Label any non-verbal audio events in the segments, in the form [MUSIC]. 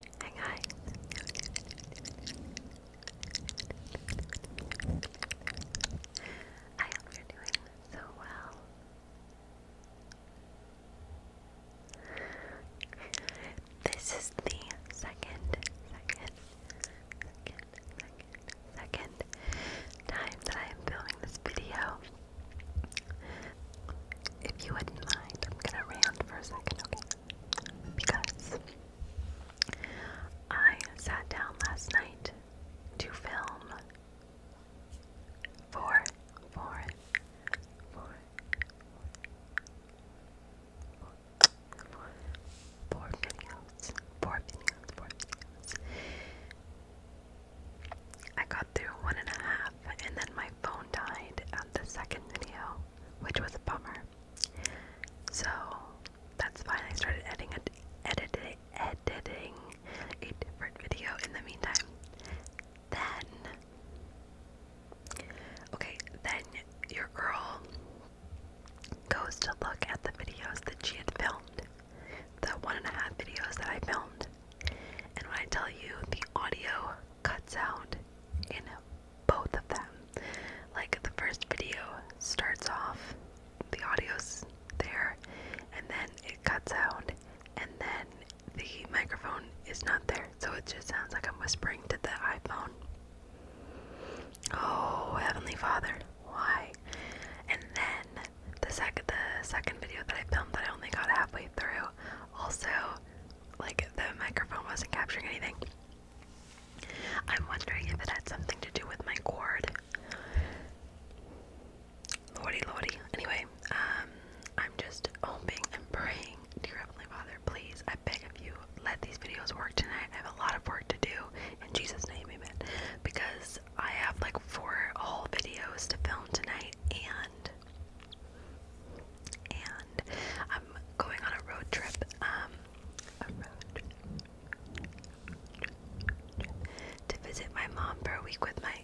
Hi I hope doing so well. This is the second, second, second, second, second time that I am filming this video. If you wouldn't mind, I'm gonna rant for a second, okay? because I sat down last night to film for, videos, four videos, four videos. I got through one and a half, and then my phone died at the second video which was a bummer. So that's why I started editing, editing, editing a different video in the meantime. Then, okay, then your girl goes to look at the videos that she had filmed, the one and a half videos that I filmed. And when I tell you the audio Cuts out in both of them. Like the first video starts off, the audio's there, and then it cuts out, and then the microphone is not there, so it just sounds like I'm whispering to the iPhone. Oh, Heavenly Father, why? And then the second the second video that I filmed that I only got halfway through also like the microphone wasn't capturing anything. I'm wondering if it had something to do with my cord. Lordy, lordy. Anyway, um, I'm just hoping and praying, dear Heavenly Father, please, I beg of you, let these videos work tonight. I have a lot of work to do. In Jesus' name, amen. Because I have like four whole videos to film tonight, and and I'm going on a road trip. Um, To visit my mom for a week with my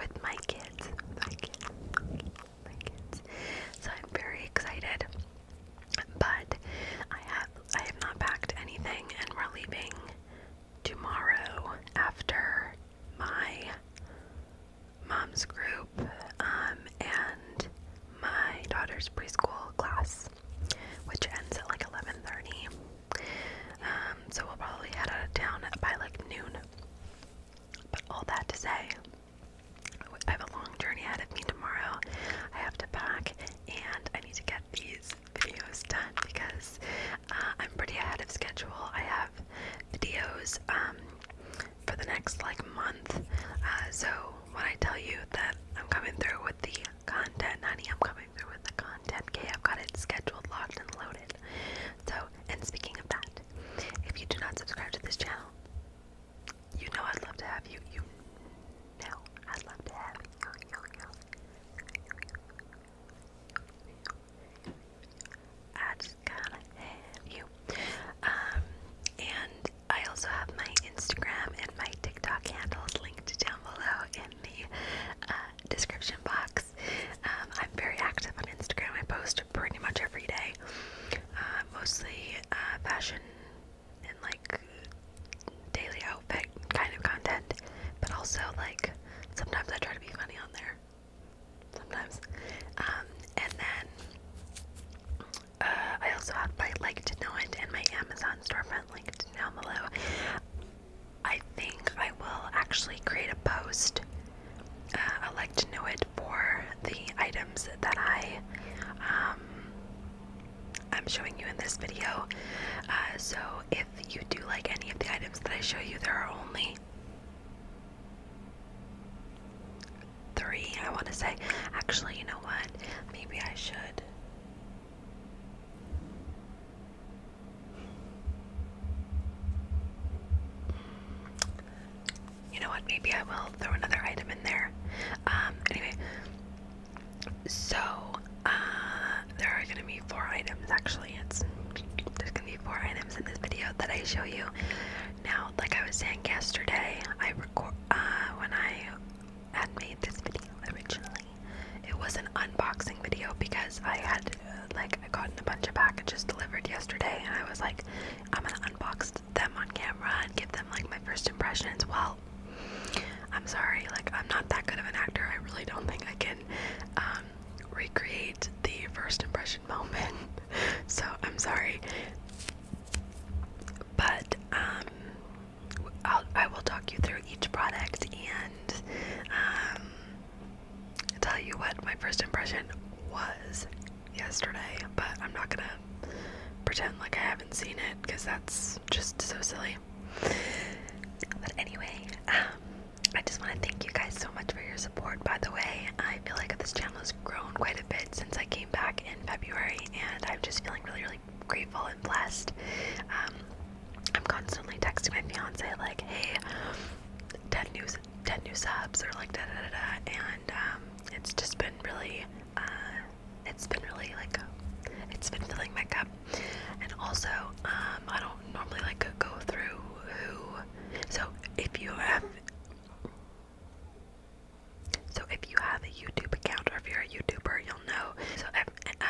with my kids, my kids, my kids. So I'm very excited, but I have I have not packed anything, and we're leaving tomorrow after my mom's group um, and my daughter's preschool class, which ends at like 11:30. Um, so we'll probably head out of town by like noon. But all that to say, I have a long journey ahead of me tomorrow. I have to pack, and I need to get these videos done because uh, I'm pretty ahead of schedule. I have videos um, for the next like month. Uh, so when I tell you that I'm coming through with the content, honey, I'm coming through with the content. Okay, I've got it scheduled, locked, and loaded. So, and speaking of that, if you do not subscribe to this channel, you know I'd love to have you. You know I'd love to have you. you, you. I just gotta have you. Um, and I also have my Instagram and my TikTok handles linked down below in the uh, description box. Um, I'm very active on Instagram. I post pretty much every day, uh, mostly uh, fashion and like daily outfit kind of content, but also like sometimes I try to be funny on there. Sometimes, um, and then uh, I also have my Like to know it and my Amazon storefront linked down below. I think I will actually create a post. I uh, like to know it for the items that I um, I'm showing you in this video. Uh, so if you do like any of the items that I show you, there are only three, I want to say. Actually, you know what? Maybe I should. You know what? Maybe I will throw another item in there. Um, anyway, so uh, there are going to be four items. Actually, it's there's going to be four items in this video that I show you. Now, like I was saying yesterday, I record uh, when I had made this video originally, it was an unboxing video because I had like I gotten a bunch of packages delivered yesterday, and I was like, I'm gonna unbox them on camera and give them like my first impression as Well, I'm sorry, like I'm not that good of an actor. I really don't think I can um, recreate the first impression [LAUGHS] moment. so I'm sorry. But um, I'll, talk you through each product and um, tell you what my first impression was yesterday. But I'm not gonna pretend like I haven't seen it because that's just so silly. But anyway, um, I just want to thank you guys so much for your support. By the way, I feel like this channel has grown quite a bit since I came back in February, and I'm just feeling really, really grateful and blessed. Um, I'm constantly texting my fiance like, "Hey, 10 new, 10 new subs," or like da da da da, and um, it's just been really, uh, it's been really like, it's been filling my cup. And also, um, I don't normally like go through who, so if you have so if you have a YouTube account or if you're a YouTuber, you'll know. So uh,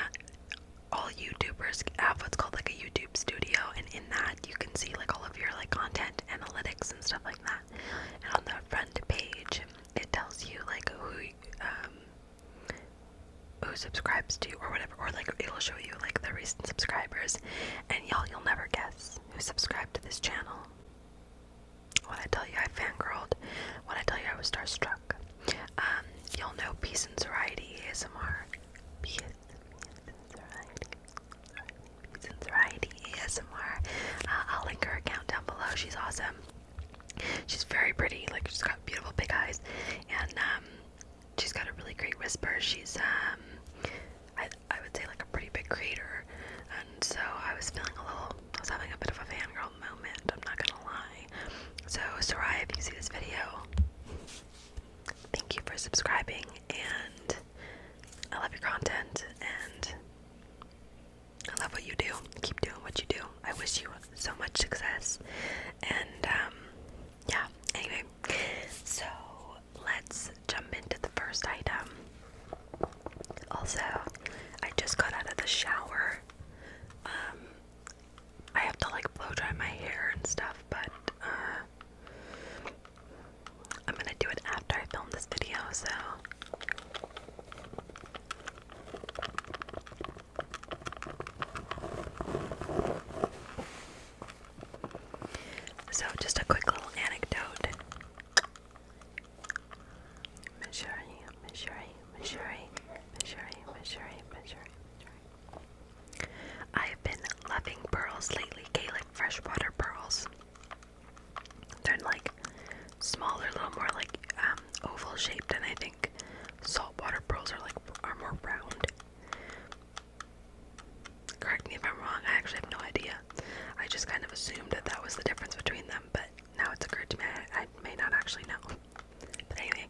all YouTubers have what's called like a YouTube Studio, and in that you can see like all of your like content analytics and stuff like that. And on the front page, it tells you like who um, who subscribes to you or whatever, or like it'll show you like the recent subscribers, and y'all you'll never guess who subscribed to this channel. When I tell you I fangirled, when I tell you I was starstruck, um, you'll know Peace and Variety ASMR. Peace, peace and Variety. ASMR. Uh, I'll link her account down below. She's awesome. She's very pretty. Like she's got beautiful big eyes, and um, she's got a really great whisper. She's um, I would say like a pretty big creator, and so I was feeling a little, I was having a bit of a fan girl moment, I'm not gonna lie. So, Soraya, if you see this video, thank you for subscribing, and I love your content, and I love what you do. Keep doing what you do. I wish you so much success, and um, yeah, anyway, so let's jump into the first item. Also, I just got out of the shower. Um, I have to like blow dry my hair and stuff, but uh, I'm gonna do it after I film this video, so. So, just a quick little anecdote. Missouri, Missouri, Missouri, Missouri, Missouri, Missouri, Missouri. I've been loving pearls lately, Gaelic freshwater pearls. They're like smaller, a little more like um, oval shaped, and I think saltwater pearls are like are more round. Correct me if I'm wrong. I actually have no idea. I just kind of assumed that that was the difference between them, but now it's occurred to me I, may not actually know. But anyway,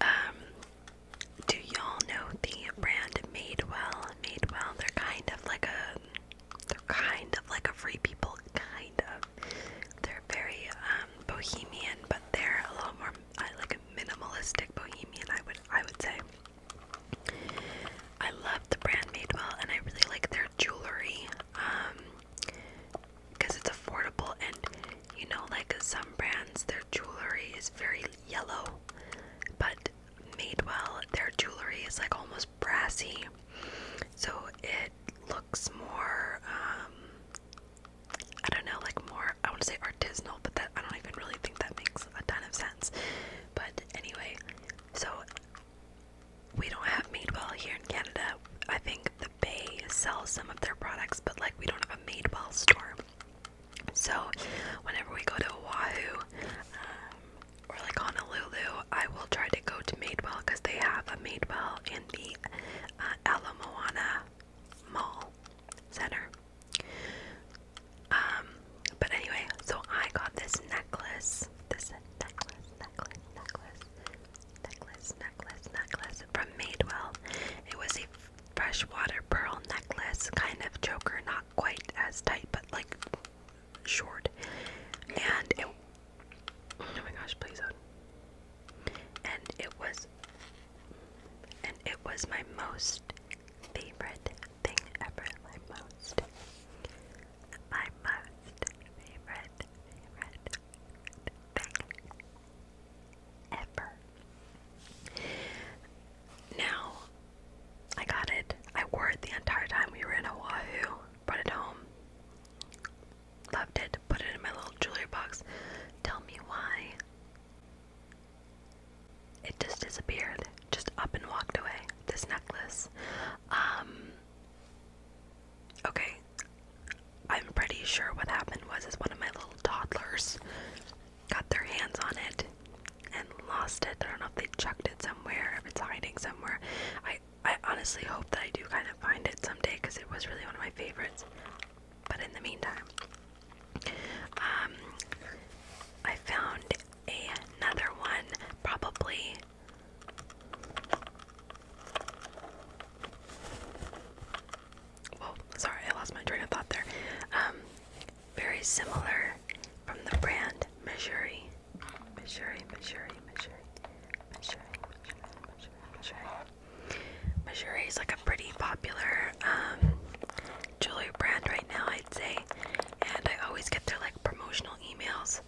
um, do y'all know the brand Madewell? Madewell, they're kind of like a, they're kind of like a Free People, kind of. They're very um, bohemian, but they're a little more uh, like a minimalistic bohemian. I would, I would say. I love the brand Madewell and I really like their jewelry because um, it's affordable and you know like some brands their jewelry is very yellow but Madewell their jewelry is like almost brassy so it looks more um, I don't know like more I want to say artisanal but that I don't even really think that makes a ton of sense but anyway so we don't have Madewell here in Canada. I think the Bay sells some of their products, but like we don't have a Madewell store. So whenever we go to Oahu um, or like Honolulu, I will try to go to Madewell because they have a Madewell in the uh, Alamoana Mall Center. Um, but anyway, so I got this necklace. This necklace, necklace, necklace, necklace, necklace, necklace from Madewell. It was a freshwater pearl necklace, kind of choker, not quite as tight, but like short. And oh my gosh, please And it was, and it was my most favorite thing ever. My most my most favorite, favorite thing ever. Now, I got it. I wore it the entire time we were in Oahu. Brought it home. Loved it. Put it in my little jewelry box. Tell me why. It just disappeared. Just up and walked away. This necklace. Um Okay. I'm pretty sure what happened was is one of my little toddlers got their hands on it and lost it. I don't know if they chucked it somewhere, if it's hiding somewhere. I I honestly hope that I do kind of find it someday because it was really one of my favorites. But in the meantime, um, I found another one, probably well, sorry, I lost my train of thought there. Um, very similar from the brand Missouri. Missouri, Missouri, Missouri, Missouri, Missouri, Missouri, Missouri. Missouri is like a pretty popular um, jewelry brand right now, I'd say. And I always get their like promotional emails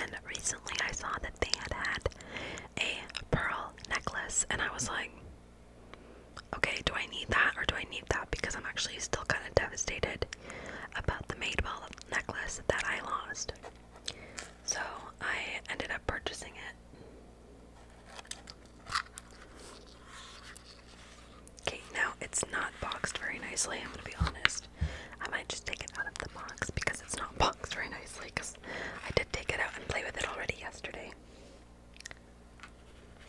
and recently I saw that they had had a pearl necklace, and I was like, okay, do I need that or do I need that? Because I'm actually still kind of devastated about the Madewell necklace that I lost. So I ended up purchasing it. Okay, now it's not boxed very nicely, I'm gonna be honest. I might just take it out of the box because it's not [LAUGHS] boxed very nicely because I did take it out and play with it already yesterday.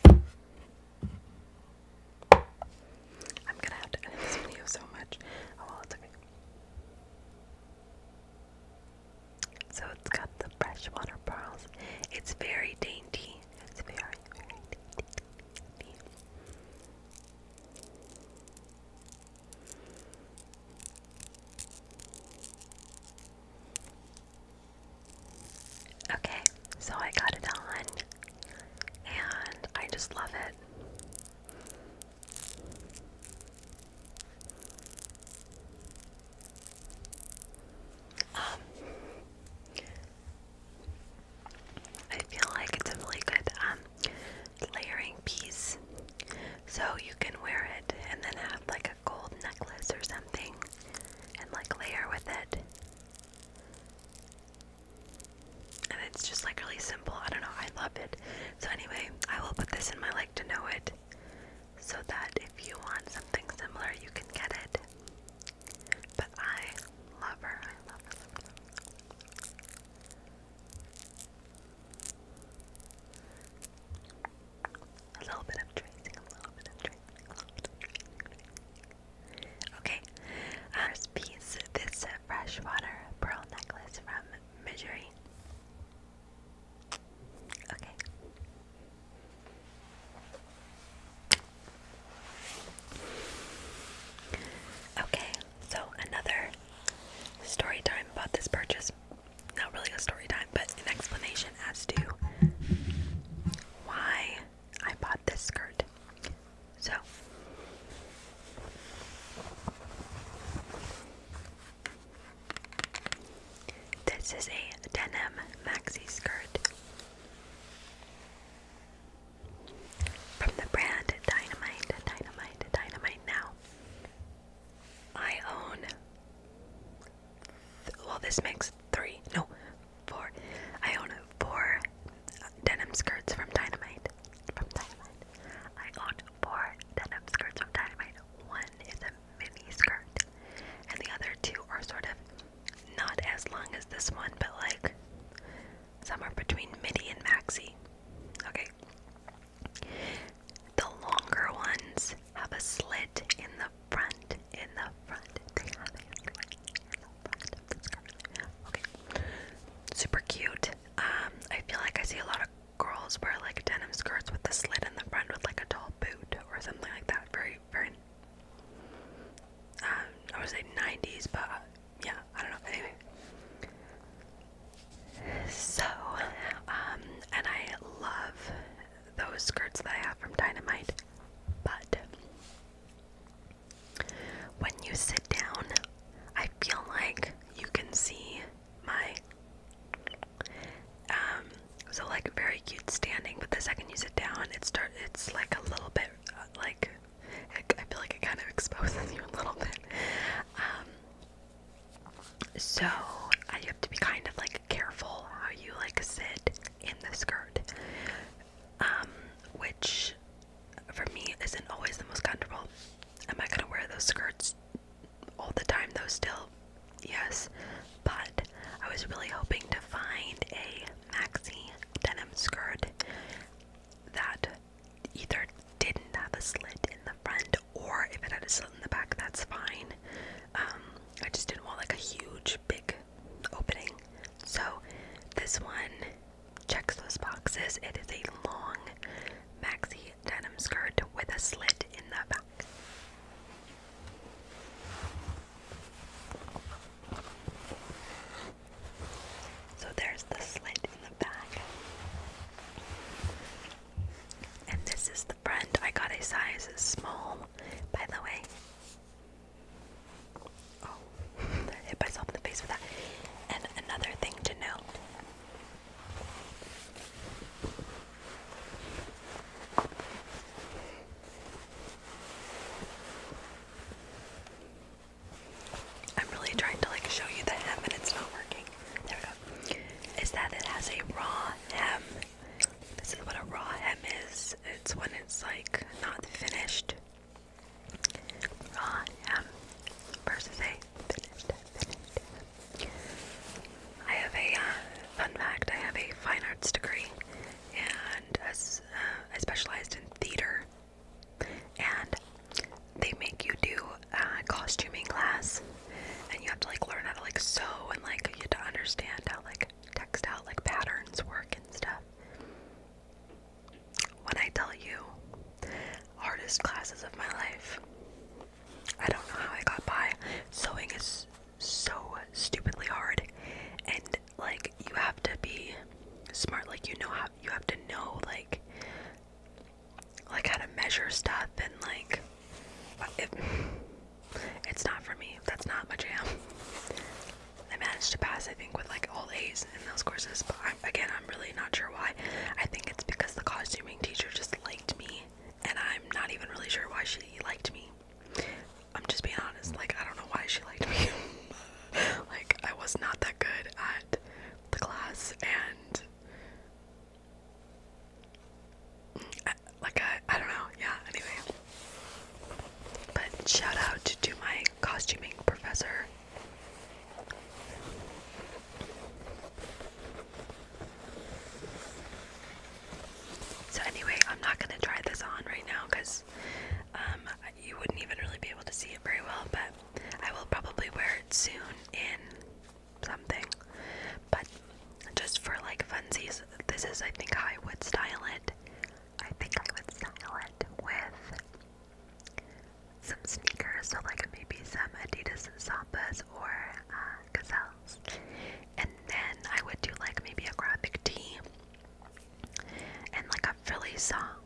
I'm gonna have to edit this video so much. Oh it's okay. So it's got the freshwater pearls. It's very dainty. It's very, very dainty. Okay, so I got it on and I just love it. Um, I feel like it's a really good um, layering piece. So you can wear it and then have like a gold necklace or something and like layer with it. And it's just like really simple. I don't know. I love it. So anyway, I will put this in my like to know it so that if you want something similar, you can get it. But I love her. A little bit of tracing, a little bit of tracing, a little bit of tracing. Okay, first piece this freshwater pearl necklace from Missouri. Okay. Okay, so another story time about this purchase. Not really a story time, but an explanation as to why I bought this skirt. So, this is a denim maxi skirt. From the brand Dynamite, Dynamite, Dynamite Now. I own. well, this makes three. No, four. I own four denim skirts from Dynamite. From Dynamite. I own four denim skirts from Dynamite. One is a mini skirt, and the other two are sort of not as long as this one, but like somewhere between midi and maxi. Okay. The longer ones have a slit in the front. In the front. They have a slit in the front Okay. Super cute. Um, I feel like I see a lot of girls wear like denim skirts with a slit in the front with like a tall boot or something like that. Very, very. Um, I would say 90s, but yeah, I don't know. So, um, and I love those skirts that I have from Dynamite, but when you sit down, I feel like you can see my, um, so like very cute standing, but the second you sit down, it start, it's like a little bit uh, like I feel like it kind of exposes you a little bit. Um, so uh, have to be kind of like careful how you like sit in the skirt, um, which for me isn't always the most comfortable. Am I gonna wear those skirts all the time though? Still, yes, but I was really hoping to find a maxi denim skirt that either didn't have a slit in the front or if it had a slit in the back, that's fine. Um, I just didn't want like a huge, big opening. So this one checks those boxes. It is a long maxi denim skirt with a slit in the back. So there's the slit in the back. And this is the front. I got a size small, by the way. Oh, [LAUGHS] hit myself in the face with that. And another thing to note. I'm really trying to like show you the hem and it's not working. There we go. Is that it has a raw hem. This is what a raw hem is. It's when it's like not finished. Raw hem versus a finished I have a uh, fun fact. I have a fine arts degree, and uh, I specialized in theater and they make you do costuming class, and you have to like learn how to like sew and like you have to understand how like textile like patterns work and stuff. When I tell you, hardest classes of my life. I don't know how I got by. Sewing is so stupidly hard, and like you have to be smart. Like you know how you have to know like like how to measure stuff and like it's not for me. That's not my jam. I managed to pass I think with like all A's in those courses, but again I'm really not sure why. I think it's because the costuming teacher just liked me and I'm not even really sure why she liked me. I'm just being honest. Like I don't know why she liked me. [LAUGHS] like I was not that good the class and like I, I don't know yeah anyway but shout out to, to my costuming professor so anyway I'm not gonna try this on right now because um, you wouldn't even really be able to see it very well but I will probably wear it soon in something, but just for like funsies, this is, I think, how I would style it. I think I would style it with some sneakers, so like maybe some Adidas and Sampas or uh, Gazelles, and then I would do like maybe a graphic tee and like a frilly song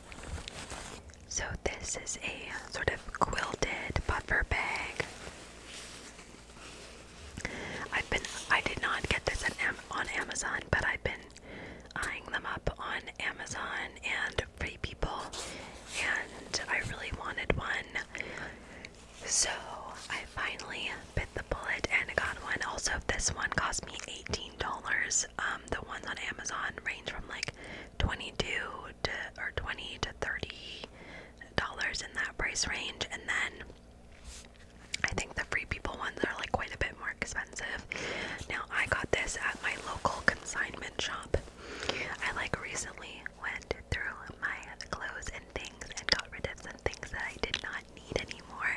So, this is a sort of quilted puffer bag. I've been, I did not get this on Amazon, but I've been eyeing them up on Amazon and Free People, and I really wanted one. So, I finally bit the bullet and got one. Also, this one cost me $18. Um, um, the ones on Amazon range from like 22 to or 20 to 30 dollars in that price range, and then I think the Free People ones are like quite a bit more expensive. Now I got this at my local consignment shop. I like recently went through my clothes and things and got rid of some things that I did not need anymore,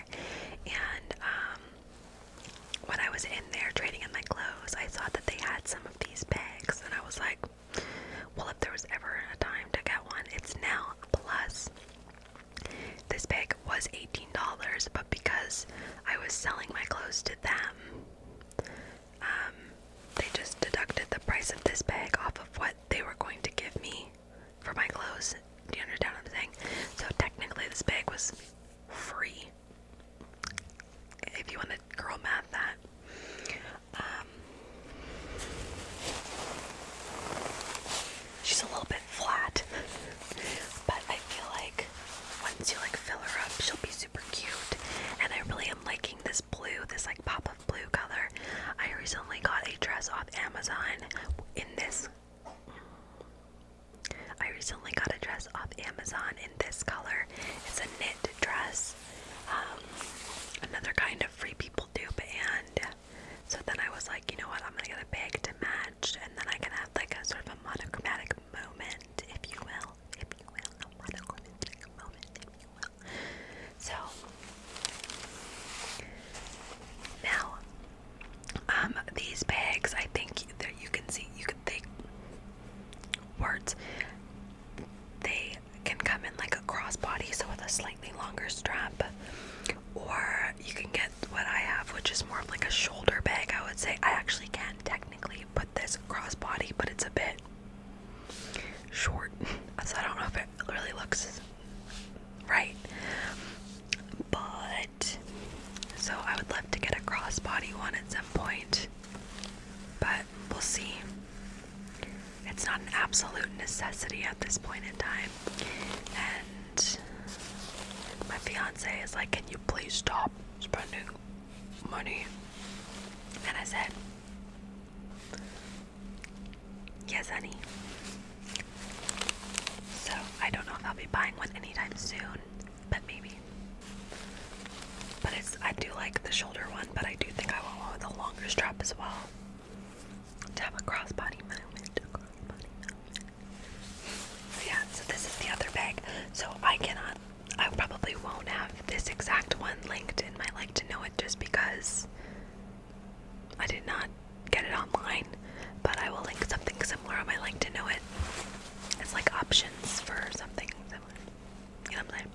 and um, when I was in there trading in my clothes, I saw that they had some of these bags, and I was like, well, if there was ever a time to get one, it's now. Plus, this bag was $18, but because I was selling my clothes to them, um, they just deducted the price of this bag off of what they were going to give me for my clothes. Do you understand So technically, this bag was free if you want to girl math that. Um, she's a little bit flat, but I feel like once you like fill her up, she'll be super cute. And I really am liking this blue, this like pop of blue color. I recently got a dress off Amazon in this I recently got a dress off Amazon in this color. It's a knit dress. Um, another kind of free people dupe, and so then I was like, you know what? I'm gonna get a bag to match, and then I can have like a sort of a monochromatic moment, if you will, if you will. So now um, these bags, I think that you can see, you can think words. They can come in like a crossbody, so with a slightly longer strap, or you can get what I have, which is more like a shoulder bag. I would say I actually can technically put this crossbody, but it's a bit short, [LAUGHS] so I don't know if it really looks right. But so I would love to get a crossbody one at some point. But we'll see. It's not an absolute necessity at this point in time. And my fiance is like, Can you please stop spending money? And I said, Yes, honey. So I don't know if I'll be buying one anytime soon but maybe. But it's I do like the shoulder one, but I do think I want one with a longer strap as well. To have a crossbody moment. yeah, so this is the other bag. So I cannot I probably won't have this exact one linked in my like to know it just because I did not get it online but I will link something similar I might like to know it. It's like options for something similar. You know what I'm saying?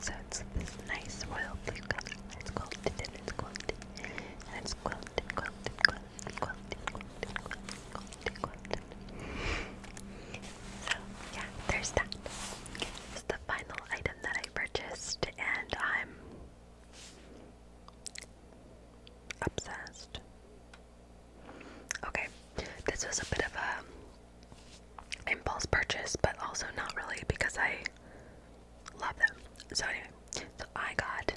So it's this nice royal blue color. It's quilted and it's quilted. And it's quilted, quilted, quilted, quilted, quilted, quilted, quilted, quilted. So yeah, there's that. It's the final item that I purchased and I'm obsessed. Okay, this was a bit of a impulse purchase, but also not really because I love them. So anyway, so I got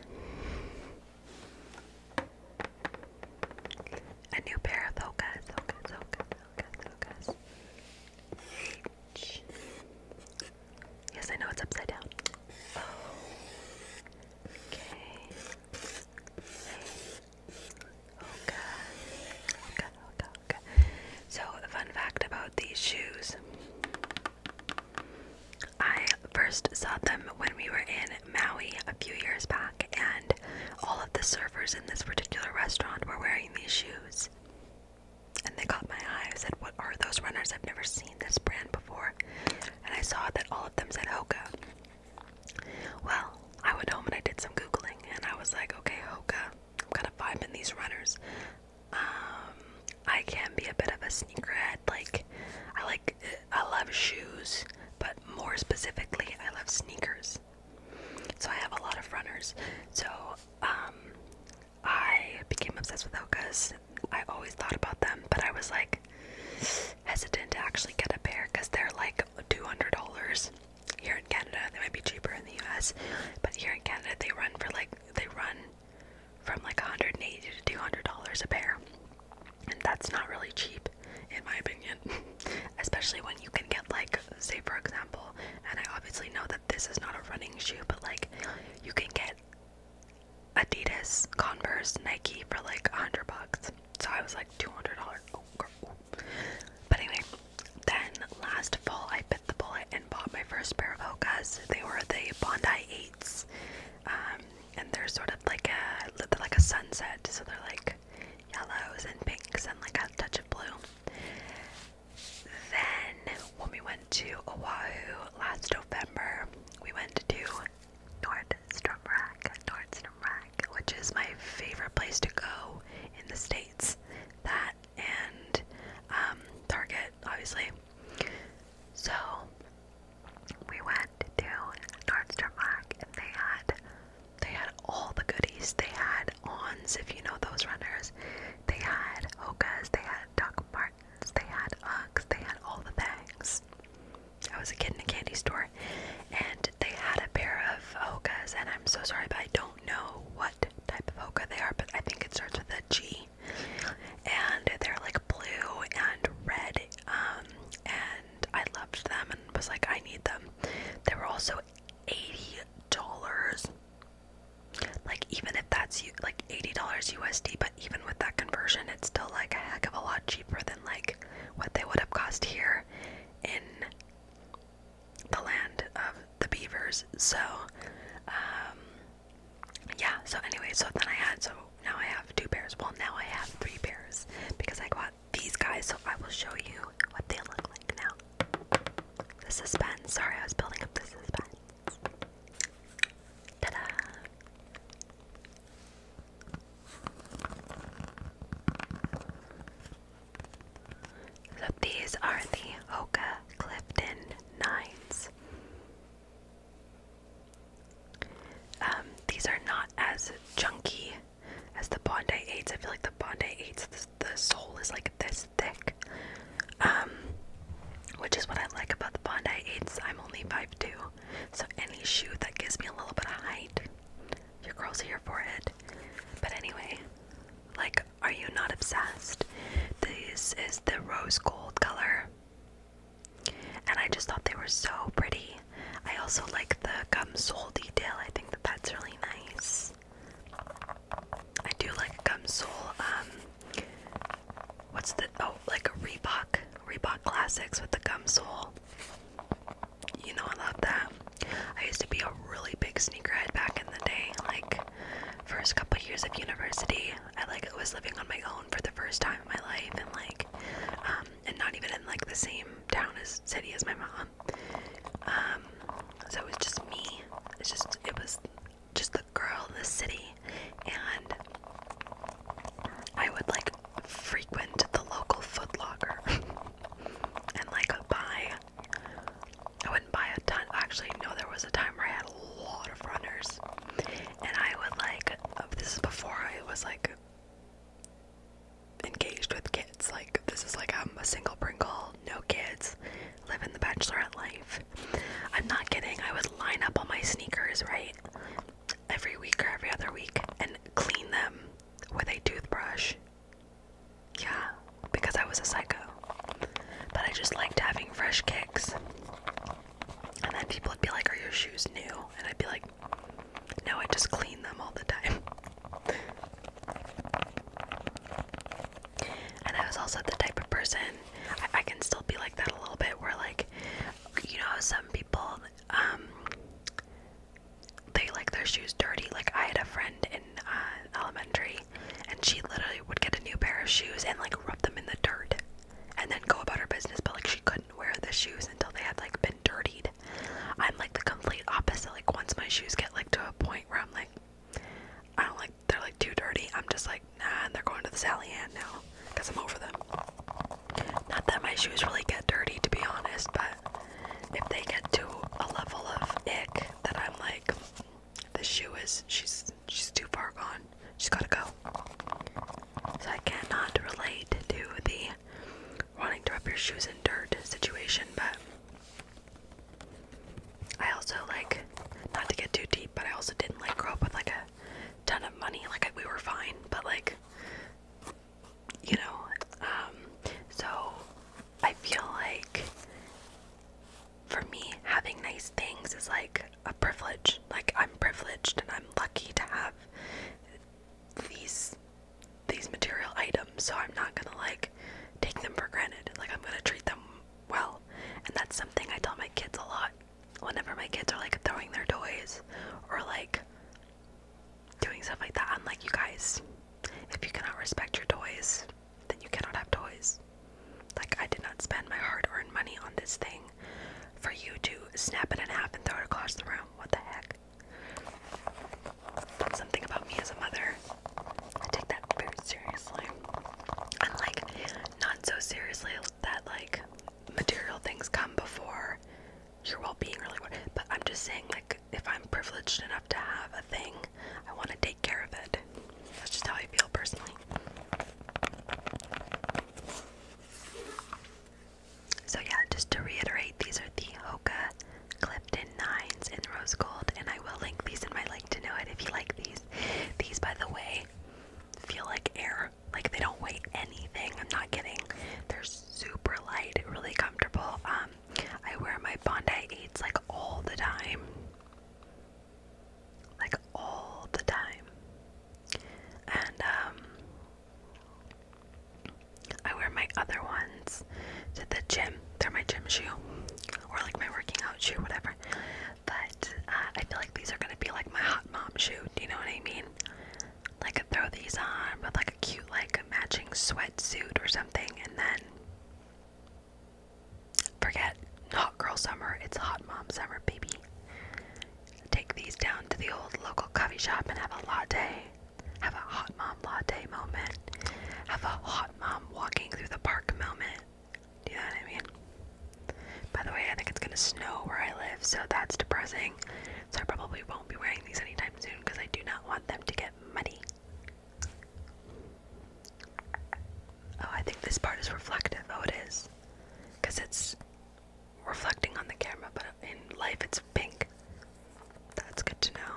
a new pair of Hokas, Hokas, Hokas, Yes, I know it's upside down. Okay. Okay. Okay, So, fun fact about these shoes. I first saw them when we were in Maui a few years back, and all of the surfers in this particular restaurant were wearing these shoes. And they caught my eye. I said, What are those runners? I've never seen this brand before. And I saw that all of them said Hoka. Well, I went home and I did some Googling, and I was like, Okay, Hoka, I'm kind of vibing these runners. Um, I can be a bit of a sneakerhead. Like, I like, I love shoes, but more specifically, I love sneakers. So I have a lot of runners. So, um, I became obsessed with Hoka's. I always thought about them, but I was like hesitant to actually get a pair because they're like $200 here in Canada, they might be cheaper in the US, but here in Canada they run for like they run from like 180 to 200 dollars a pair, and that's not really cheap in my opinion, [LAUGHS] especially when you can get like say for example, and I obviously know that this is not a running shoe, but like you can get Adidas, Converse, Nike for like 100 bucks. So I was like 200 dollars. Oh, but anyway, then last fall I bit the bullet and bought my first pair of Hokas. They were the Bondi Eights, um, and they're sort of like a like a sunset, so they're like yellows and pinks and like a touch of blue. Then when we went to Oahu last November, we went to Nordstrom Rack, Nordstrom Rack, which is my favorite place to go in the states that and um, Target, obviously. So we went to Nordstrom Rack, and they had they had all the goodies. They had Ons, if you know those runners. They had Hokas. They had Doc Martins. They had Uggs. They had all the things. I was a kid in a candy store, and they had a pair of Hokas, and I'm so sorry, but I don't don't know what type of Hoka they are, but I think it starts with a G. And they're like blue and red. Um, and I loved them and was like, I need them. They were also $80. Like, even if that's like $80 USD, but even with that conversion, it's still like a heck of a lot cheaper than like what they would have cost here in the land of the beavers. So, um, yeah. So anyway, so then I had so now I have two pairs. Well, now I have three pairs because I got these guys. So I will show you what they look like now. The suspense. Sorry, I was building up the suspense. Ta-da! So these are the Oka Clifton Nines. Um, these are not as chunky as the Bondi 8s. I feel like the Bondi 8s, the, sole is like this thick, um, which is what I like about the Bondi 8s. I'm only five two, so any shoe that gives me a little bit of height, your curls are here for it. But anyway, like are you not obsessed? This is the rose gold color. And I just thought they were so pretty. I also like the gum sole detail. I think that that's really nice. I do like gum sole. Um, what's the oh like a Reebok Reebok Classics with the gum sole. You know I love that. I used to be a really big sneakerhead back in the day. Like, first couple years of university, I like was living on my own for the first time in my life, and like, um, and not even in like the same town as city as my mom. Um, so it was just me. It's just it was just the girl in the city, and I would like frequent the local Foot Locker [LAUGHS] and like buy I wouldn't buy a ton. Actually, no, there was a time where I had a lot of runners, and I would like. Uh, this is before I was like engaged with kids. Like this is like I'm a single Pringle, no kids, living the bachelorette life. I'm not kidding. I would line up all my sneakers right every week or every other week and clean them with a toothbrush yeah, because I was a psycho. But I just liked having fresh kicks. And then people would be like, Are your shoes new? And I'd be like, No, I just clean them all the time. and I was also the type of person, I, I can still be like that a little bit, where, like, you know, some people, um, they like their shoes dirty. Like, I had a friend in uh, elementary, and she literally would get a new pair of shoes and like rub them in the dirt, and then go about her business. But like she couldn't wear the shoes until they had like been dirtied. I'm like the complete opposite. Like once my shoes get like to a point where I'm like, I don't like they're like too dirty. I'm just like nah, and they're going to the Sally Ann now because I'm over them. Not that my shoes really get dirty to be honest, but if they get to a level of ick that I'm like, the shoe is she's she's too far gone. She's gotta go. So I cannot relate to the wanting to rub your shoes in dirt situation, but I also like not to get too deep, but I also didn't like grow up with like a ton of money. Like we were fine, but like you know, um, so I feel like for me, having nice things is like a privilege. Like I'm privileged and I'm lucky to have these these material items, so I'm not gonna like take them for granted. Like I'm gonna treat them well. And that's something I tell my kids a lot. Whenever my kids are like throwing their toys or like doing stuff like that, I'm like, you guys, if you cannot respect your toys, then you cannot have toys. Like, I did not spend my hard earned money on this thing for you to snap it in half and throw it across the room. What the heck? something about me as a mother. I take that very seriously. And, not so seriously that, like, material things come before your well being or, like, But I'm just saying, like, if I'm privileged enough to have a thing, I want to take care of it. That's just how I feel personally. So yeah, just to reiterate, these are the Hoka Clifton 9s in rose gold, and I will link these in my like to know it if you like these. These, by the way, feel like air. Like they don't weigh anything. I'm not kidding. They're super light, really comfortable. Um, I wear my Bondi 8s like all the time. Like all the time. And um, I wear my other ones to the gym. They're my gym shoe. Or like my working out shoe, whatever. But uh, I feel like these are gonna be like my hot mom shoe. Do you know what I mean? Like I throw these on with like a cute like a matching sweatsuit or something, and then Forget hot girl summer, it's hot mom summer, baby. Take these down to the old local coffee shop and have a latte. Have a hot mom latte moment. Have a hot mom walking through the park moment. Do you know what I mean? By the way, I think it's gonna snow where I live, so that's depressing. So I probably won't be wearing these anytime soon because I do not want them to get muddy. Oh, I think this part is reflective. Oh, it is. Because it's reflecting on the camera, but in life it's pink. That's good to know.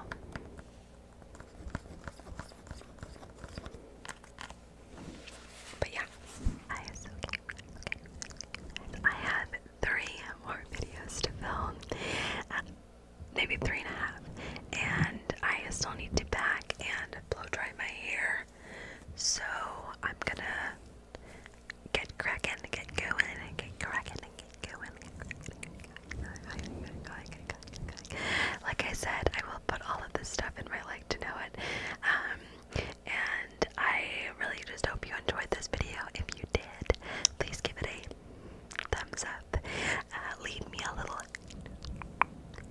But yeah, I have three more videos to film maybe three and a half. And I still need to pack and blow dry my hair. So I'm gonna get cracking, get going, and get cracking, and get going. Like I said, I will put all of this stuff in my like to know it. Um, and I really just hope you enjoyed this video. If you did, please give it a thumbs up. Uh, leave me a little,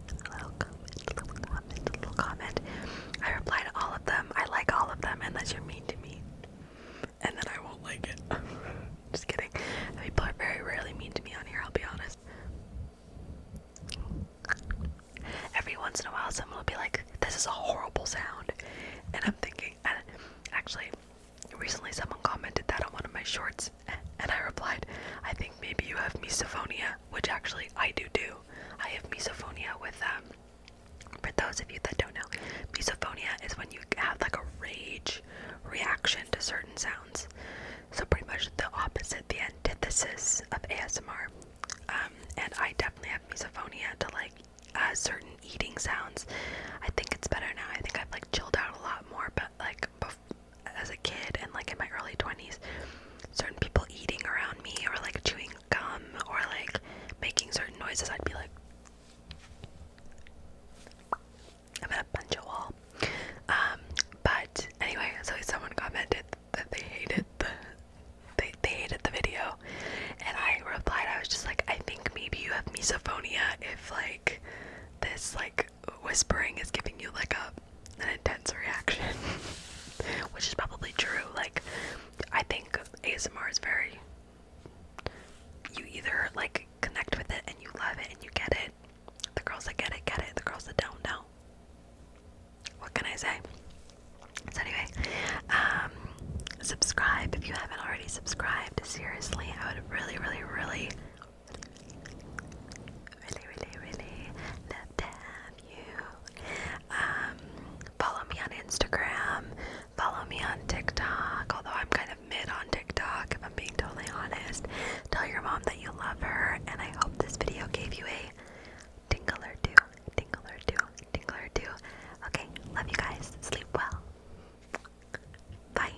little comment, little comment, little comment. I reply to all of them. I like all of them unless you're mean to me, and then I won't like it. [LAUGHS] Just kidding. People are very rarely mean to me on here. I'll be honest. Every once in a while, someone will be like, "This is a horrible sound," and I'm thinking, actually, recently someone commented that on one of my shorts, and I replied, I think maybe you have misophonia, which actually I do do. I have misophonia with, um, for those of you that don't know, misophonia is when you have like a rage reaction to certain sounds. So pretty much the opposite, the antithesis of ASMR. Um, and I definitely have misophonia to like uh, certain eating sounds. I think it's better now. I think I've like chilled out a lot more, but like before as a kid and like in my early 20s certain people eating around me or like chewing gum or like making certain noises I'd be like I'm gonna punch a wall um, but anyway so someone commented that they hated the they, they hated the video and I replied I was just like I think maybe you have misophonia if like this like whispering is giving you like a an intense reaction [LAUGHS] which is probably true like i think asmr is very you either like connect with it and you love it and you get it the girls that get it get it the girls that don't know what can i say so anyway um subscribe if you haven't already subscribed seriously i would really really really Really, really, really love to have you. Um, follow me on Instagram. Follow me on TikTok. Although I'm kind of mid on TikTok, if I'm being totally honest. Tell your mom that you love her, and I hope this video gave you a tingle or two, tingle or two, tingle or two. Okay, love you guys. Sleep well. Bye.